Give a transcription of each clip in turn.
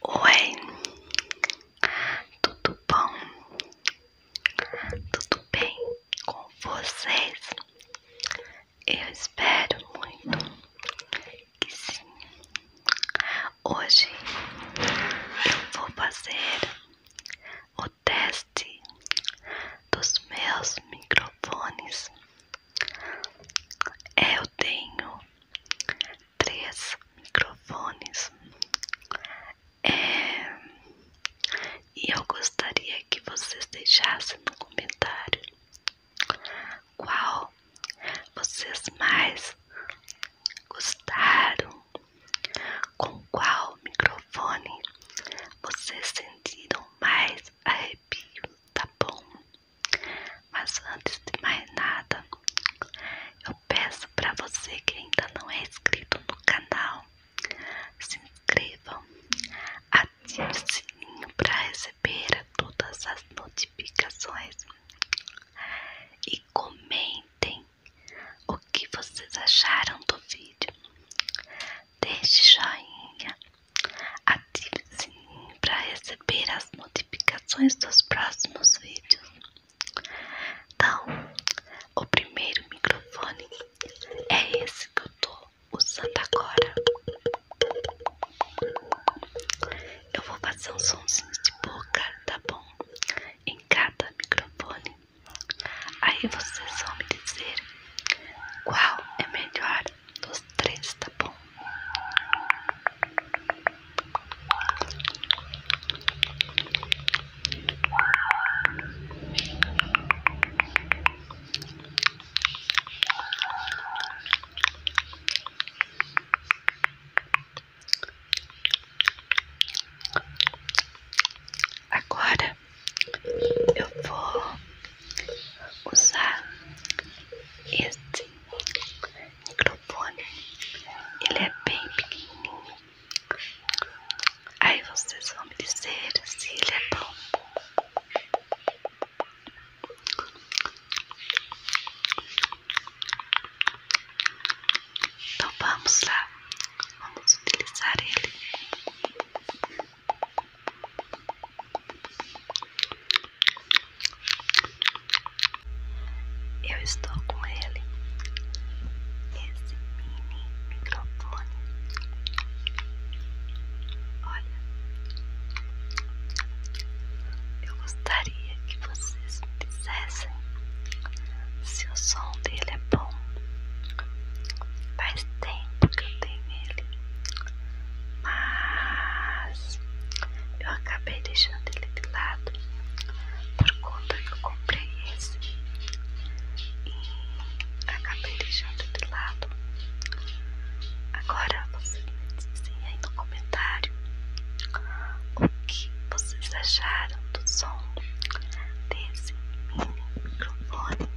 Oi, tudo bom? Tudo bem com vocês? Eu espero muito que sim. Hoje eu vou fazer o teste dos meus microfones. Eu tenho três microfones. É, e eu gostaria que vocês deixassem no comentário qual vocês mais gostaram, com qual microfone vocês sentiram mais arrepio, tá bom? Mas antes de mais nada, eu peço para você que ainda não é inscrito no canal, se inscreva, ative o sininho para receber todas as notificações e comentem o que vocês acharam do vídeo. Deixe joinha Ative o sininho para receber as notificações dos próximos vídeos. Então, o primeiro microfone é esse que eu tô usando agora. Eu vou fazer um somzinho de boca, tá bom? Em cada microfone. Aí vocês vão me dizer qual é melhor dos três, tá bom? Agora eu vou usar este microfone. Ele é bem pequenininho. Aí vocês vão me dizer se ele é bom. Então vamos lá, vamos utilizar ele. Eu estou com ele, esse mini microfone. Olha, eu gostaria que vocês me dissessem se o som dele é bom. Faz tempo que eu tenho ele mas eu acabei deixando ele de lado por conta que eu comprei esse e acabei deixando de lado. Agora vocês me dizem aí é no comentário o que vocês acharam do som desse mini microfone.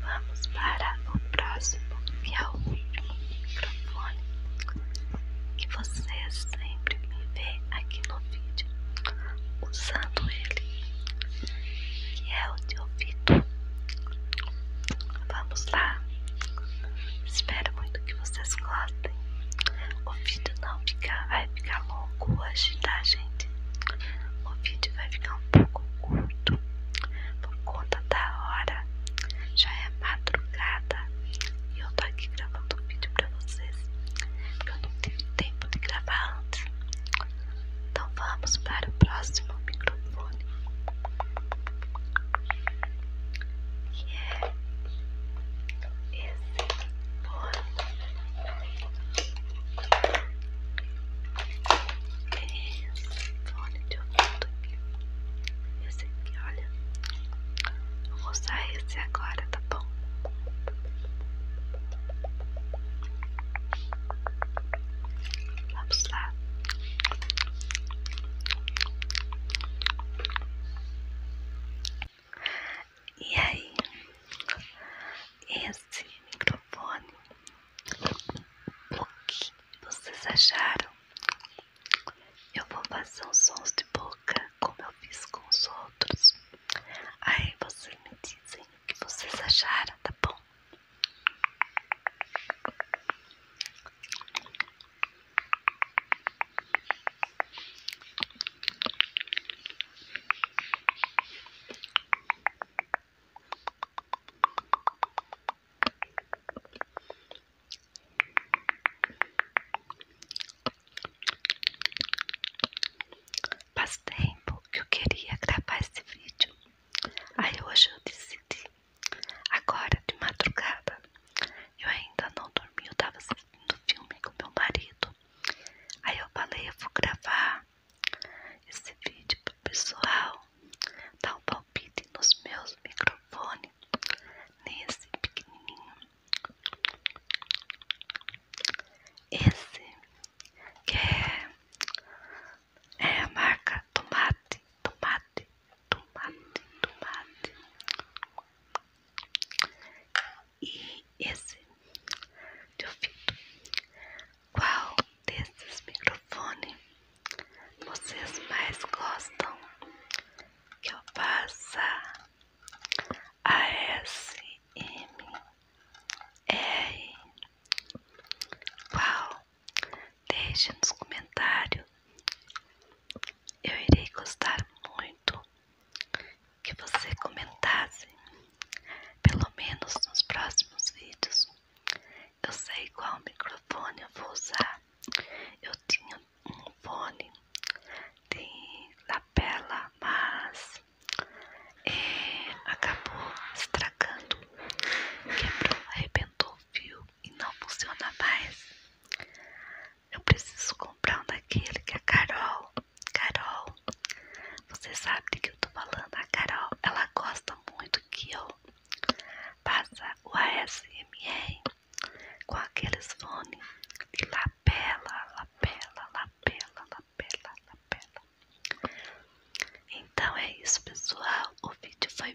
Vamos para o próximo e ao é último microfone que você sempre me vê aqui no vídeo usando ele, que é o de ouvido. Vamos lá. Espero muito que vocês gostem. O o vídeo não vai ficar longo hoje, tá, gente? O vídeo vai ficar um pouco curto por conta da hora. Já é madrugada e eu tô aqui gravando o vídeo pra vocês porque eu não tive tempo de gravar antes. Então vamos para o próximo microfone. Que é esse fone de ouvido aqui. Esse aqui, olha. Eu vou usar esse agora, tá bom? Vamos lá. E aí, esse microfone, o que vocês acharam? Eu vou fazer uns sons de boca, como eu fiz com os outros. Aí vocês me dizem o que vocês acharam, tá bom? Faz tempo que eu queria gravar esse vídeo. Aí hoje eu decidi. Agora de madrugada eu ainda não dormi, eu tava assistindo o filme com meu marido. Aí eu falei, eu vou gravar esse vídeo pro pessoal dar um palpite nos meus microfones, nesse pequenininho. Esse que é, é a marca Tomate, Tomate tomate, tomate, tomate. E esse de ouvido. Qual desses microfones vocês mais gostam que eu a S faça? ASMR. Qual Deixe nos comentários. Eu irei gostar muito que você comentasse, pelo menos nos próximos vídeos. Eu sei qual microfone eu vou usar. Eu tinha um fone de lapela, mas eh, acabou estragando, quebrou, arrebentou o fio e não funciona mais. Eu preciso comprar um daquele que a é Carol. Carol, você sabe do que eu tô falando. A Carol, ela gosta muito que eu faça o ASMR com aqueles fone de lapela, lapela, lapela, lapela, lapela. Então é isso, pessoal. O vídeo foi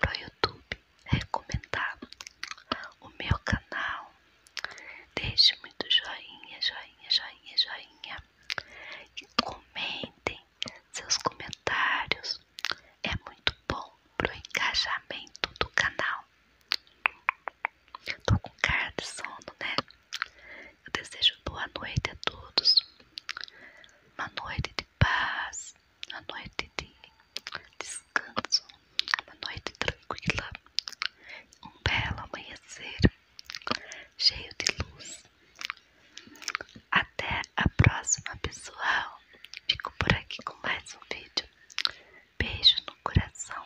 para o YouTube recomendar o meu canal. Deixe muito joinha, joinha, joinha, joinha. E comentem seus comentários. É muito bom pro engajamento do canal. Estou com cara de sono, né? Eu desejo boa noite a todos. Uma noite de paz, uma noite de descanso, uma noite tranquila, um belo amanhecer cheio de luz. Até a próxima, pessoal. Fico por aqui com mais um vídeo. Beijo no coração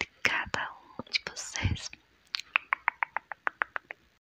de cada um de vocês.